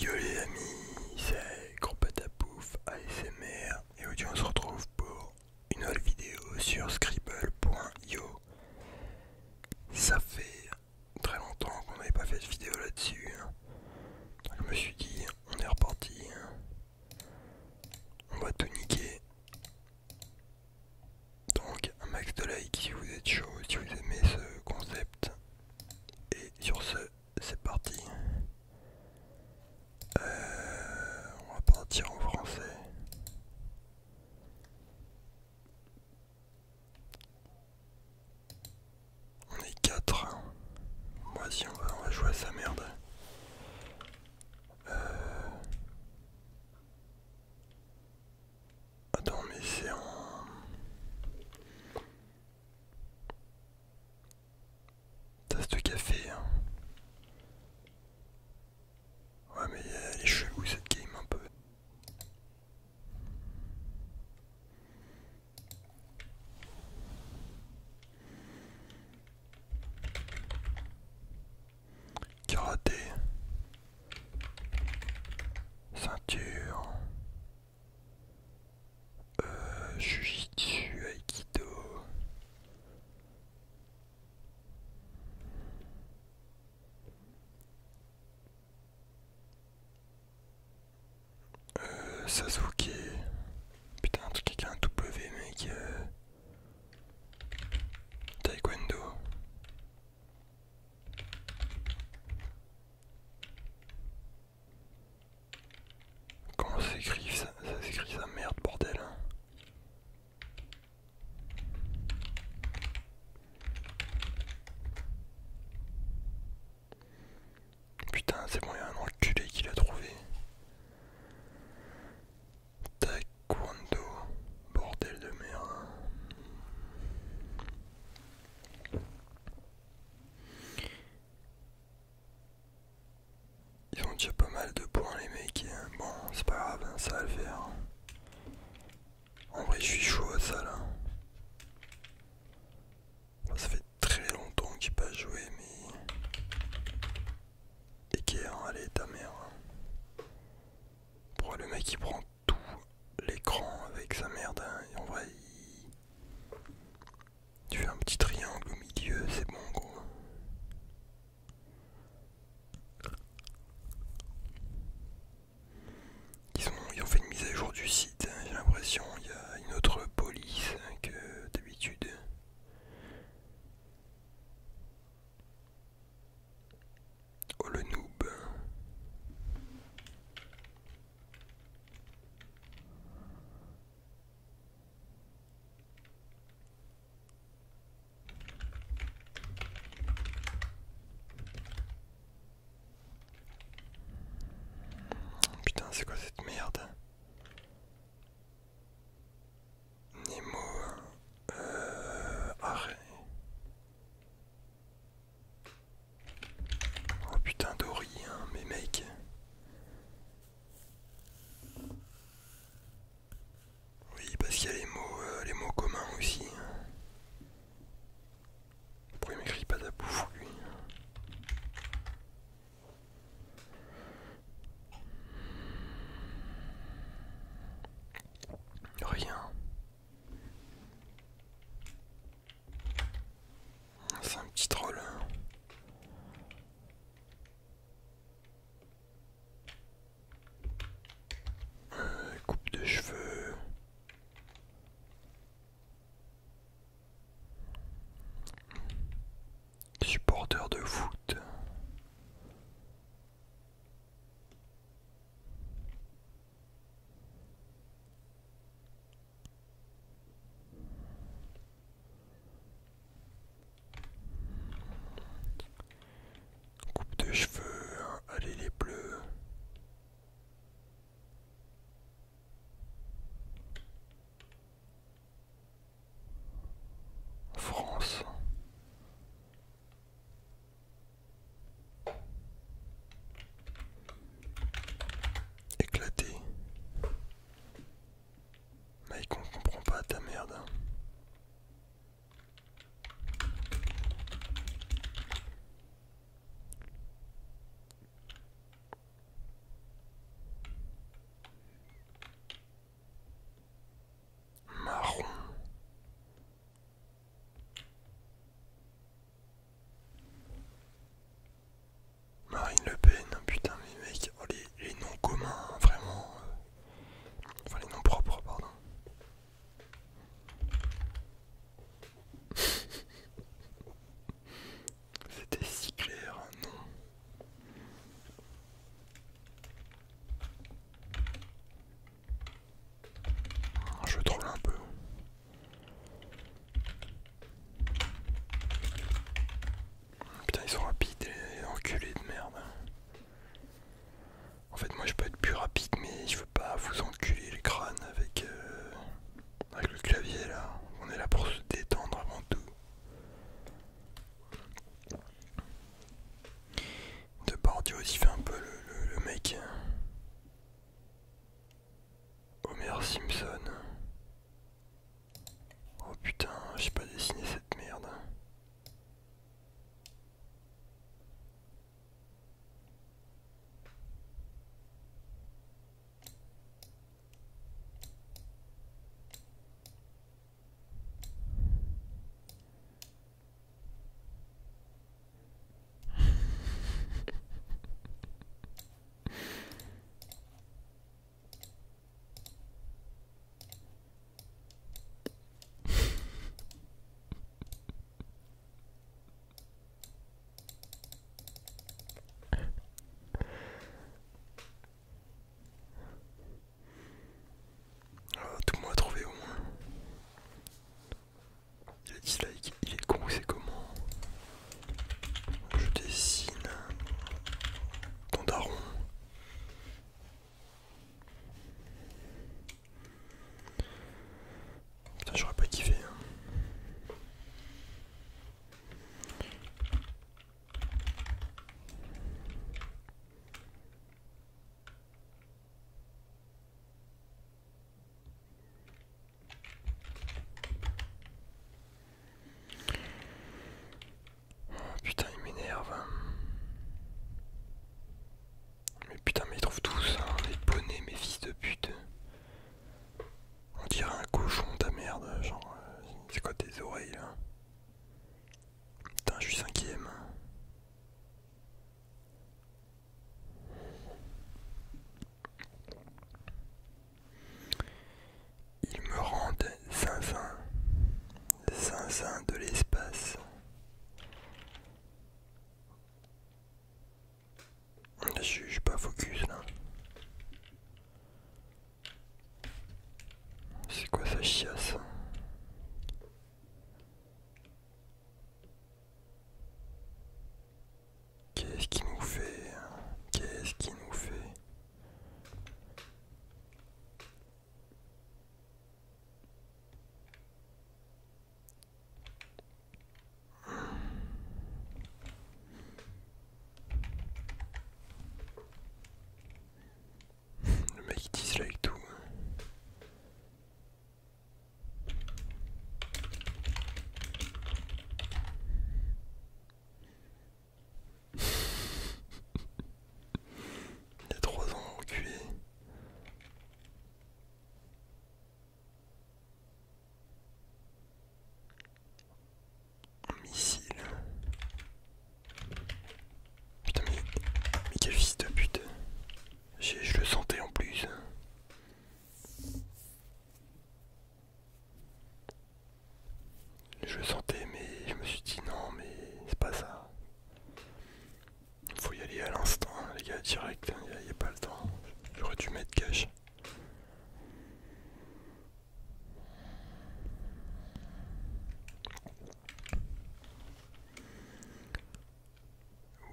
Yo les amis, c'est Gros Patapouf ASMR et aujourd'hui on se retrouve pour une nouvelle vidéo sur scribble.io. Ça fait très longtemps qu'on n'avait pas fait de vidéo là-dessus. Hein. Je me suis dit, on est reparti. Hein. On va tout niquer. Donc un max de like si vous êtes chaud, si vous aimez ce concept. Et sur ce, c'est parti. Euh, on va partir en français. On est 4. Moi si on va, jouer à sa merde. Euh, attends mais c'est en... Tasse de café. Hein. Ouais mais les cheveux cette game un peu. Karaté. Ceinture euh, Jujitsu, Aikido. Euh, Sasuke. Putain, un truc qui a un W, mec. Euh. Taekwondo. Comment s'écrit ça, ça s'écrit ça merde bordel hein. Putain c'est bon il y a un culé qui l'a trouvé Taekwondo bordel de merde hein. Ils ont déjà pas mal de points les mecs. Euh, bon, c'est pas grave, hein, ça va le faire. En vrai, je suis chaud à ça là. ça fait très longtemps qu'il pas joué, mais. Équerre, allez, ta mère. Pour le mec, il prend tout l'écran avec sa merde. Hein, et en vrai, tu fais un petit triangle au milieu, c'est bon gros. Ils, ont fait une mise à jour du site, hein, j'ai l'impression. Il y a une autre police hein, que d'habitude. Oh le noob. Putain, c'est quoi cette merde Nemo, euh, Oh putain Dory, hein, mes mecs Oui, parce qu'il y a les mots, euh, les mots communs aussi. Pourquoi il m'écrit pas de la bouffe lui Rien. C'est un petit troll. Hein. Euh, coupe de cheveux. Supporteur de foot. Coupe de cheveux, hein. allez les bleus. France éclaté. Mais qu'on comprend pas ta merde. Marron. Marine Le Pen, hein, putain mais mec, oh, les, noms communs, hein, vraiment. Euh, enfin les noms propres, pardon. C'était si clair, hein, non Je troll un peu. Putain ils sont rapides et enculés de merde. En fait moi je peux être plus rapide mais je veux pas vous enculer les crânes avec, euh, avec le clavier là. On est là pour se détendre avant tout. De Bordio aussi fait un peu le mec. Omer Simpson. Oh putain, j'ai pas dessiné cette merde. Ah, tout le monde a trouvé au moins. Le dislike, il est con, c'est comment Je dessine dans daron. Putain, j'aurais pas kiffé. Hein. Oh, putain, il m'énerve. Mais putain, mais ils trouvent tout ça, hein, les bonnets, mes fils de pute. On dirait un cochon, ta merde, genre, euh, c'est quoi tes oreilles là Putain, je suis cinquième. Il me rendent zinzin, zinzin de l'espace. Je suis pas focus là. C'est quoi ça chiasse Qu'est-ce qui nous fait hein? Qu'est-ce qui nous fait Le mec il dislike tout. Hein. Il y a trois ans au missile. Putain mais, mais quel fils de pute. Je le sentais en plus. Je le sentais, mais je me suis dit non, mais c'est pas ça. Il Faut y aller à l'instant, les gars, direct, il hein, a, pas le temps. J'aurais dû mettre cash.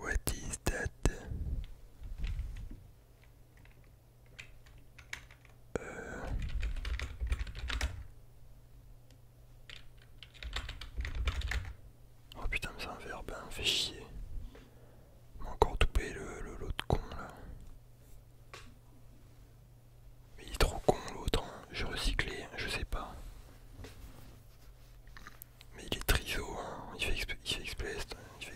What is that? Euh. Oh putain mais c'est un verbe, un hein, fait chier. m'a encore toupé le l'autre con là. Mais il est trop con l'autre, hein. je recyclais, je sais pas. Mais il est triso, hein. il fait exprès, il fait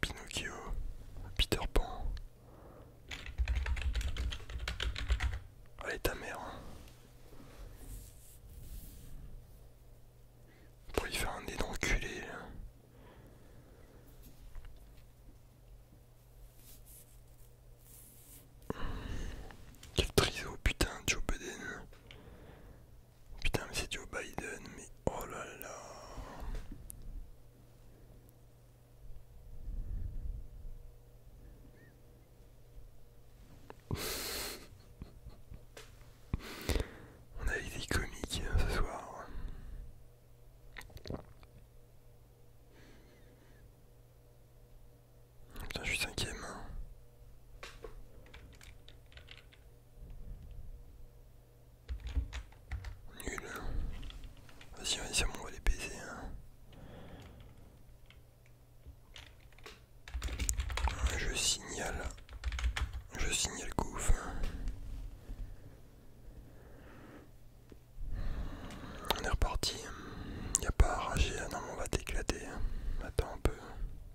Pinocchio, Peter Pan. Allez ta mère. Hein. Pour y faire un nez d'enculé. Quel putain Putain, c'est Joe Biden, mais oh là là. On a des comiques hein, ce soir. Putain, je suis cinquième. Hein. Nul. Vas-y, vas-y, on va les baiser. Je signale. Je signale gouffre. On est reparti. n'y a pas à rager. Hein. non, on va t'éclater. Hein. Attends un peu.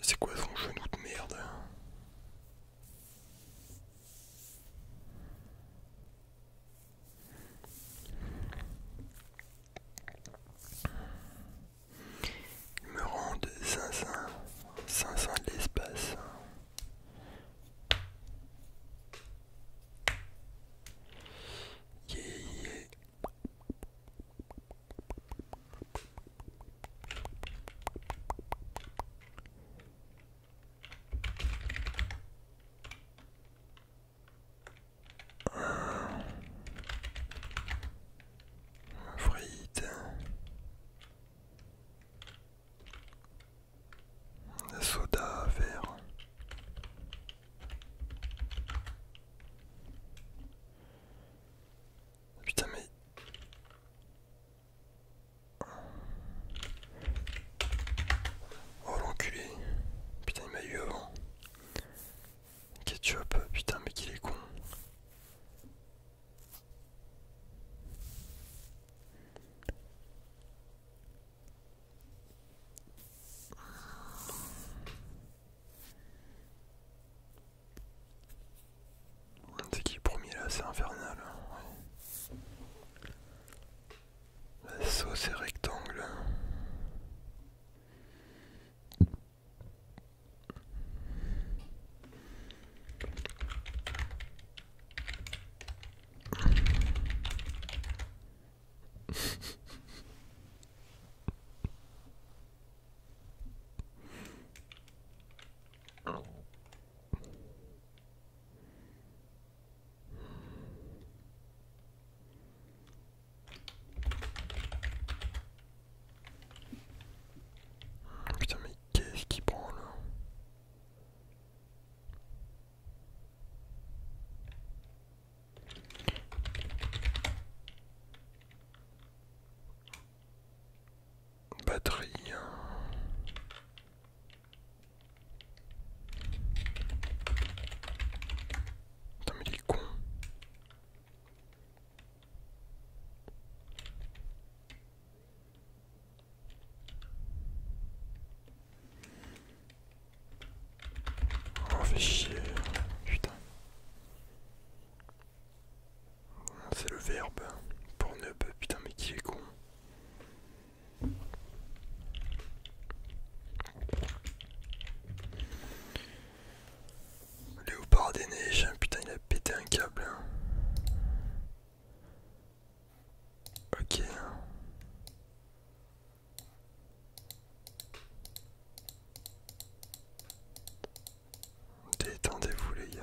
C'est quoi son genou de merde hein Il me rend 500, 500 de l'espace. Yeah, yeah. Frites. Le soda vert. Putain mais... Oh l'enculé. Putain il m'a eu avant. que Ketchup, putain mais qu'il est con. C'est qui le premier là C'est infernal. Hein, La sauce est rectangle. Putain mais qu'est-ce qui prend là batterie. Hein. Putain mais il est con. Oh fait chier, putain. C'est le verbe pour nub. Putain, mais qui est con. Léopard des neiges, hein, putain, il a pété un câble. Hein. Ok. Hein. Détendez-vous les gars.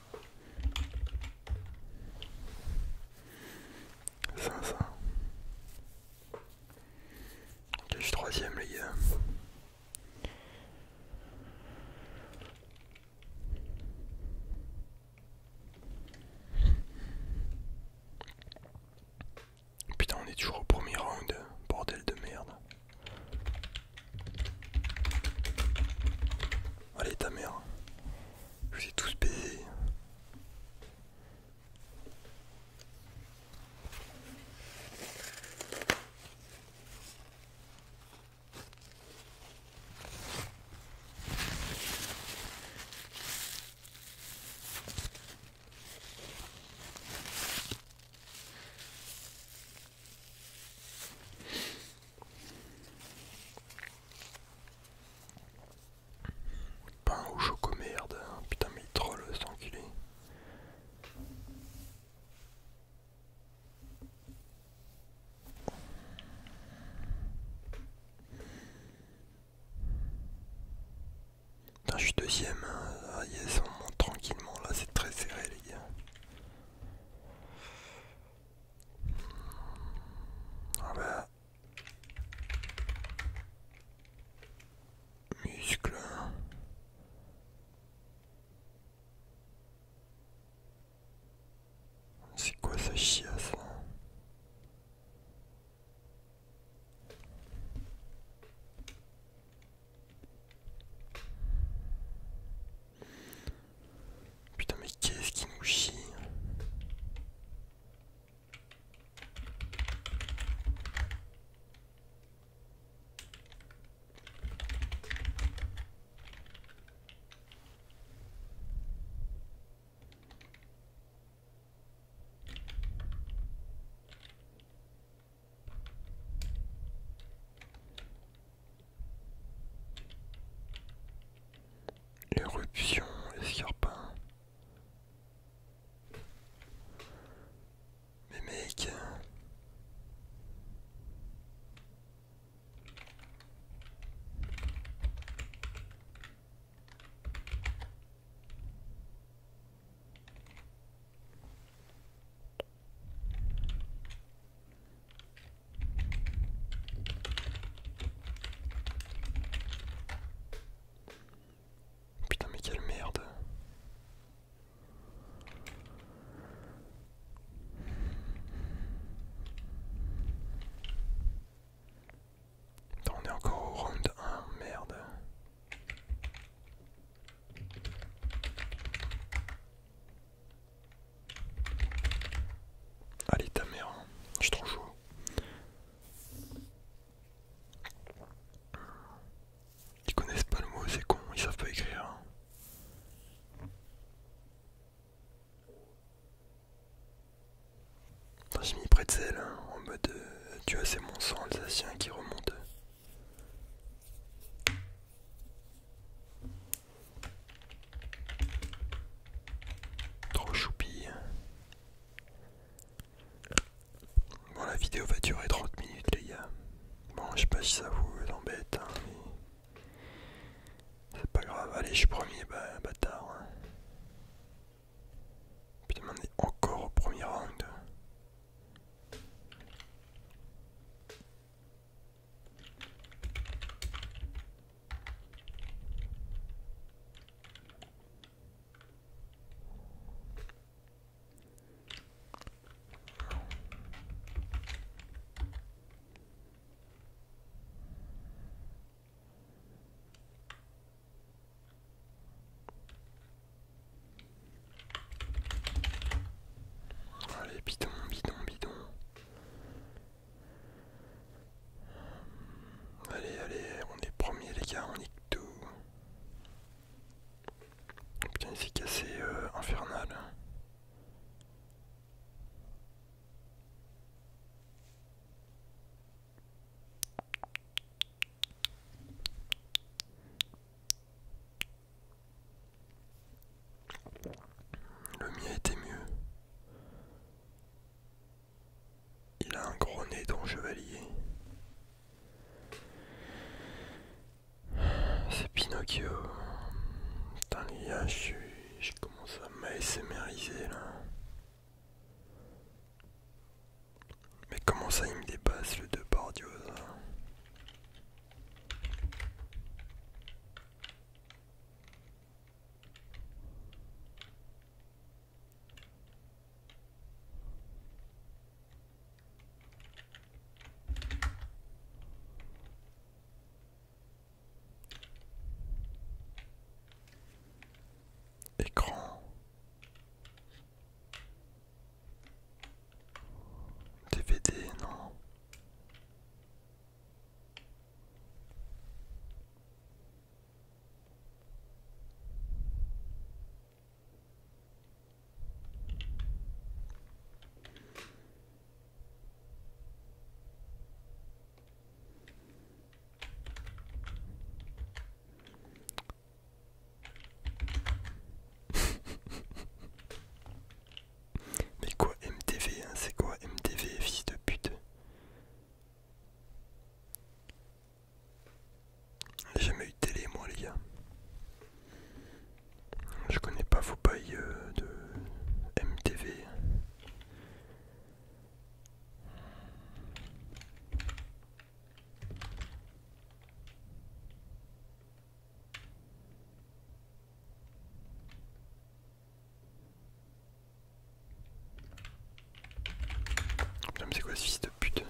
500. Ok, je suis troisième les gars. Putain, on est toujours au premier round, bordel de merde. Allez ta mère. Je les ai tous payés. Pain au choco merde, hein. putain mais il troll cet enculé. Putain je suis deuxième, hein. ah yes on monte tranquillement là c'est très serré les gars. Ah ben. Bah, Muscle. C'est quoi ça chiasse là Putain mais qu'est-ce qui nous chie l'éruption escarpin. Mais mec. Putain mais quelle merde Attends, on est encore au round 1, merde. Allez ta mère, hein. je suis trop chaud. Ils connaissent pas le mot, c'est con, ils savent pas écrire. Hein. J'ai mis de zèle hein, en mode euh, tu as c'est mon sang alsacien qui remonte. Trop choupi. Bon, la vidéo va durer 30 minutes, les gars. Bon, je sais pas si ça vous embête, hein, mais c'est pas grave. Allez, je suis premier, bâtard. Hein. Puis on est encore au premier round. Allez, bidon, bidon, bidon. Allez, allez, on est premier les gars, on est tout. Putain, c'est cassé euh, infernal. Le mien était mieux. Il a un gros nez ton chevalier. C'est Pinocchio. Putain les gars, je, commence à m'ASMRiser là. Mais comment ça il me dépasse le deux Écran DVD non mais quoi MTV hein, c'est quoi MTV fils de pute j'ai jamais eu de télé moi les gars. Je connais pas vos pailles euh, de MTV. Putain, c'est quoi ce fils de pute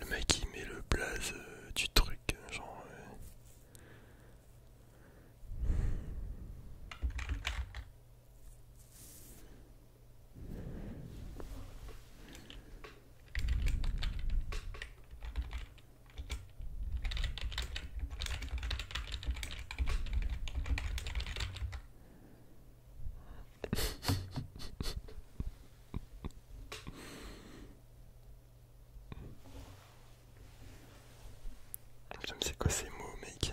Le mec qui met le blaze euh, du truc, euh, genre. Euh. Je ne sais quoi ces mots, mec.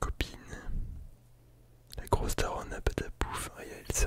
Copine. La grosse taronne a pas de pouf. a hein, elle se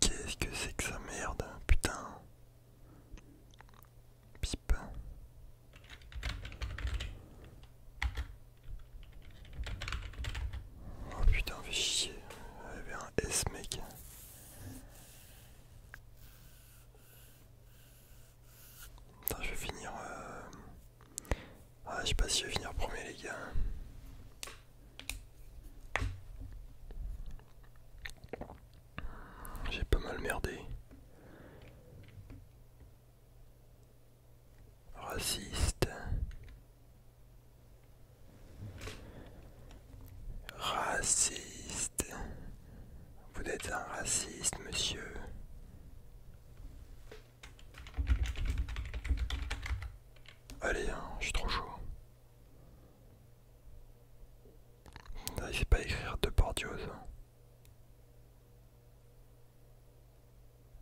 Qu'est-ce que c'est que ça merde, putain Pipe. Oh putain, fait chier. avait un S mec je vais finir. Ah, je sais pas si je vais finir premier, les gars. J'ai pas mal merdé. Raciste. Raciste. Vous êtes un raciste, monsieur. Allez, hein, je suis trop chaud. N'arrivez ah, pas écrire de bordiose. Hein.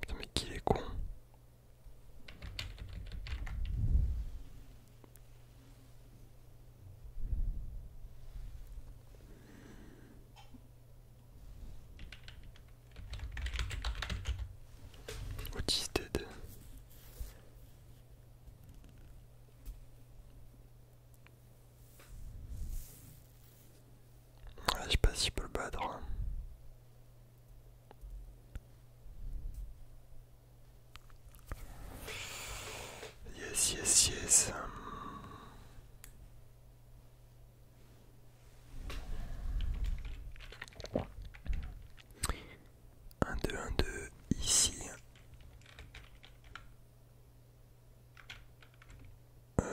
Putain, mais qu'il est con. What je sais pas si je peux le battre. Hein. Yes, yes, yes. Un, deux, un, deux, ici. Euh.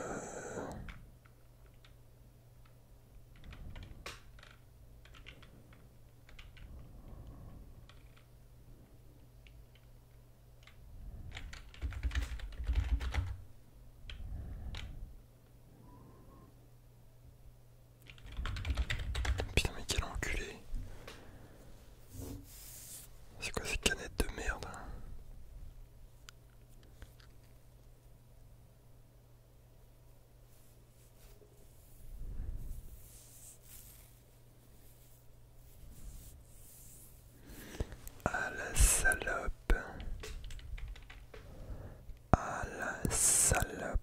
Putain mais quel enculé C'est quoi ces canettes de merde hein à la salope à la salope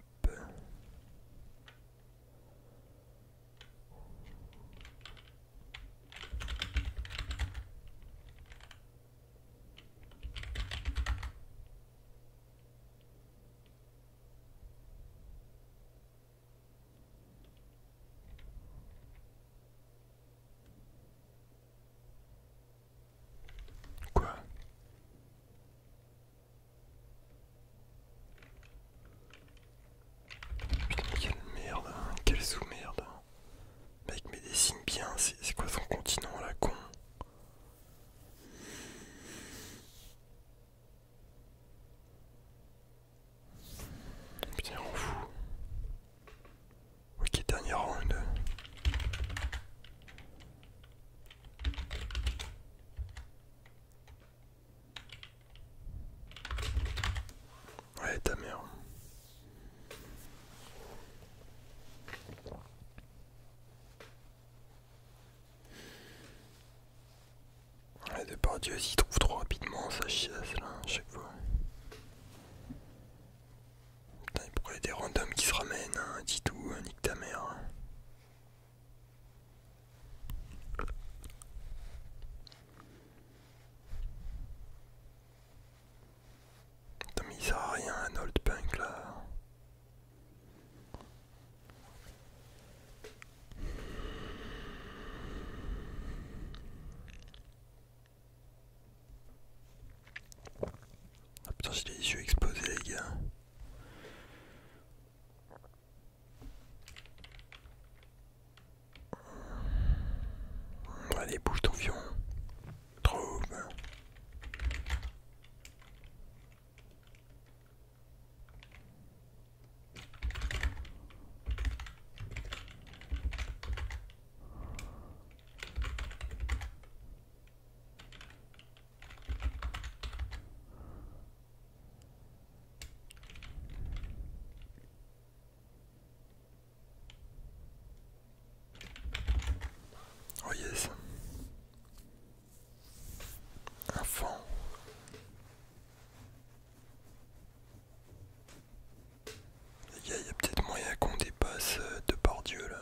Quoi Putain, quelle merde, hein, quelle sous-merde. Mec, mais dessine bien, c'est quoi son continent, la con Putain, on fout. Ok, dernier round. Ouais, ta mère. De par Dieu, s'y trouve trop rapidement, sa chiasse là, à chaque fois. Putain, pourquoi il y des randoms qui se ramènent, hein, dit tout, un hein, nique ta mère. il sert à rien un old punk là. Ah putain j'ai les yeux exposés, les gars Allez bouge ton fion Trouve Oh yes. Un fond il y a peut-être moyen qu'on dépasse euh, de par Dieu là.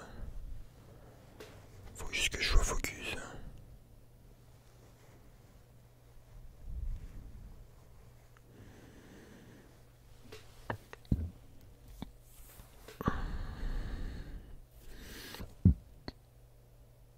Faut juste que je sois focus.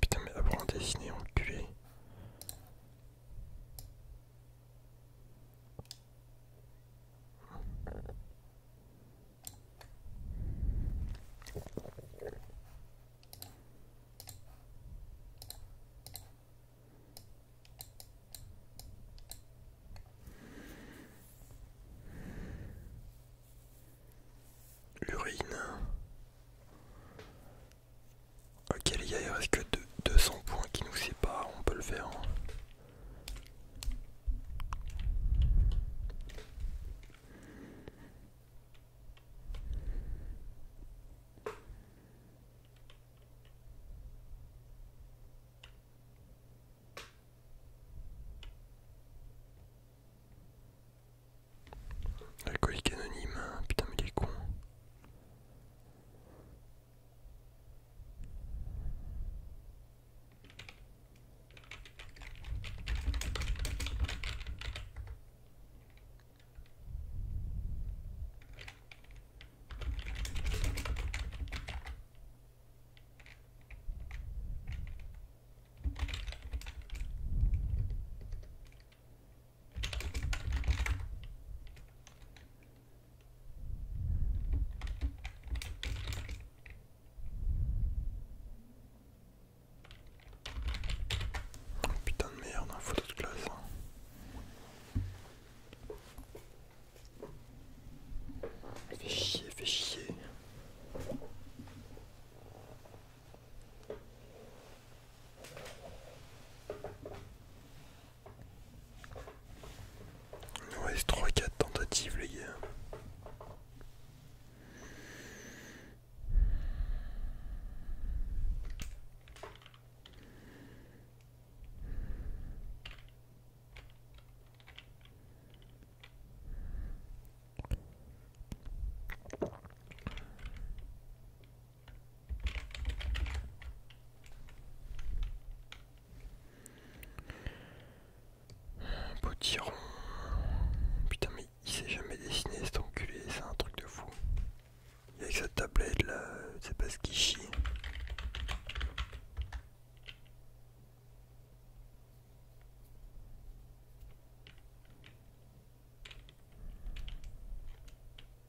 putain, mais apprends à dessiner, enculé. Urine. Ok les gars, il reste que 200 points qui nous séparent, on peut le faire. Hein. Alcoolique anonyme, hein, putain mais les cons. Oh, putain de merde, un photo de classe. Hein. Fais chier, fais chier. Il nous reste 3-4 tentatives les gars. Potiron. Putain mais il s'est jamais dessiné cet enculé, c'est un truc de fou. Il avec sa tablette là, c'est pas ce qu'il chie.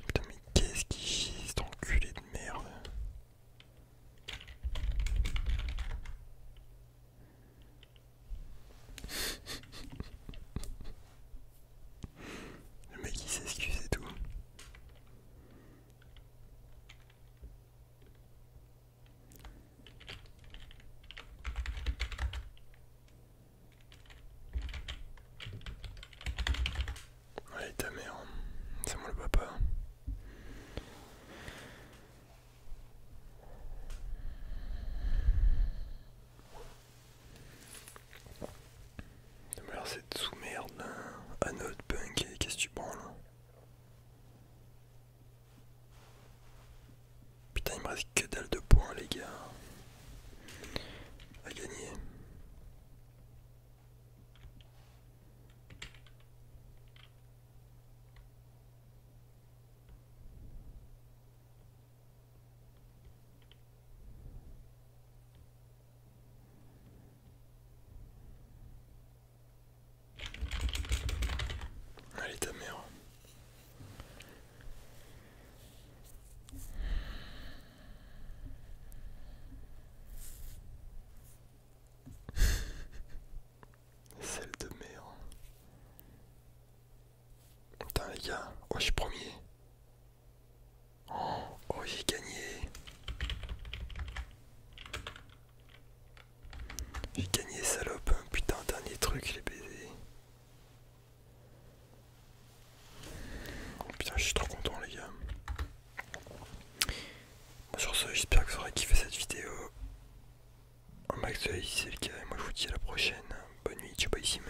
Putain mais qu'est-ce qui chie en culé de merde Le mec il s'excuse et tout Allez ta mère, hein. c'est moi le papa. Hein. Mais alors cette sous-merde là, à notre punk, qu'est-ce que tu prends là Putain il me reste que dalle de points les gars à gagner. Allez ta mère. Celle de merde. Putain les gars, oh je suis premier. Oh, j'ai gagné. J'ai gagné, salope. Putain, dernier truc, les l'ai baisé. Oh, putain, je suis trop content, les gars. sur ce, j'espère que vous aurez kiffé cette vidéo. Un max de si c'est le cas. Et moi, je vous dis à la prochaine. Bonne nuit, ciao, pas ici,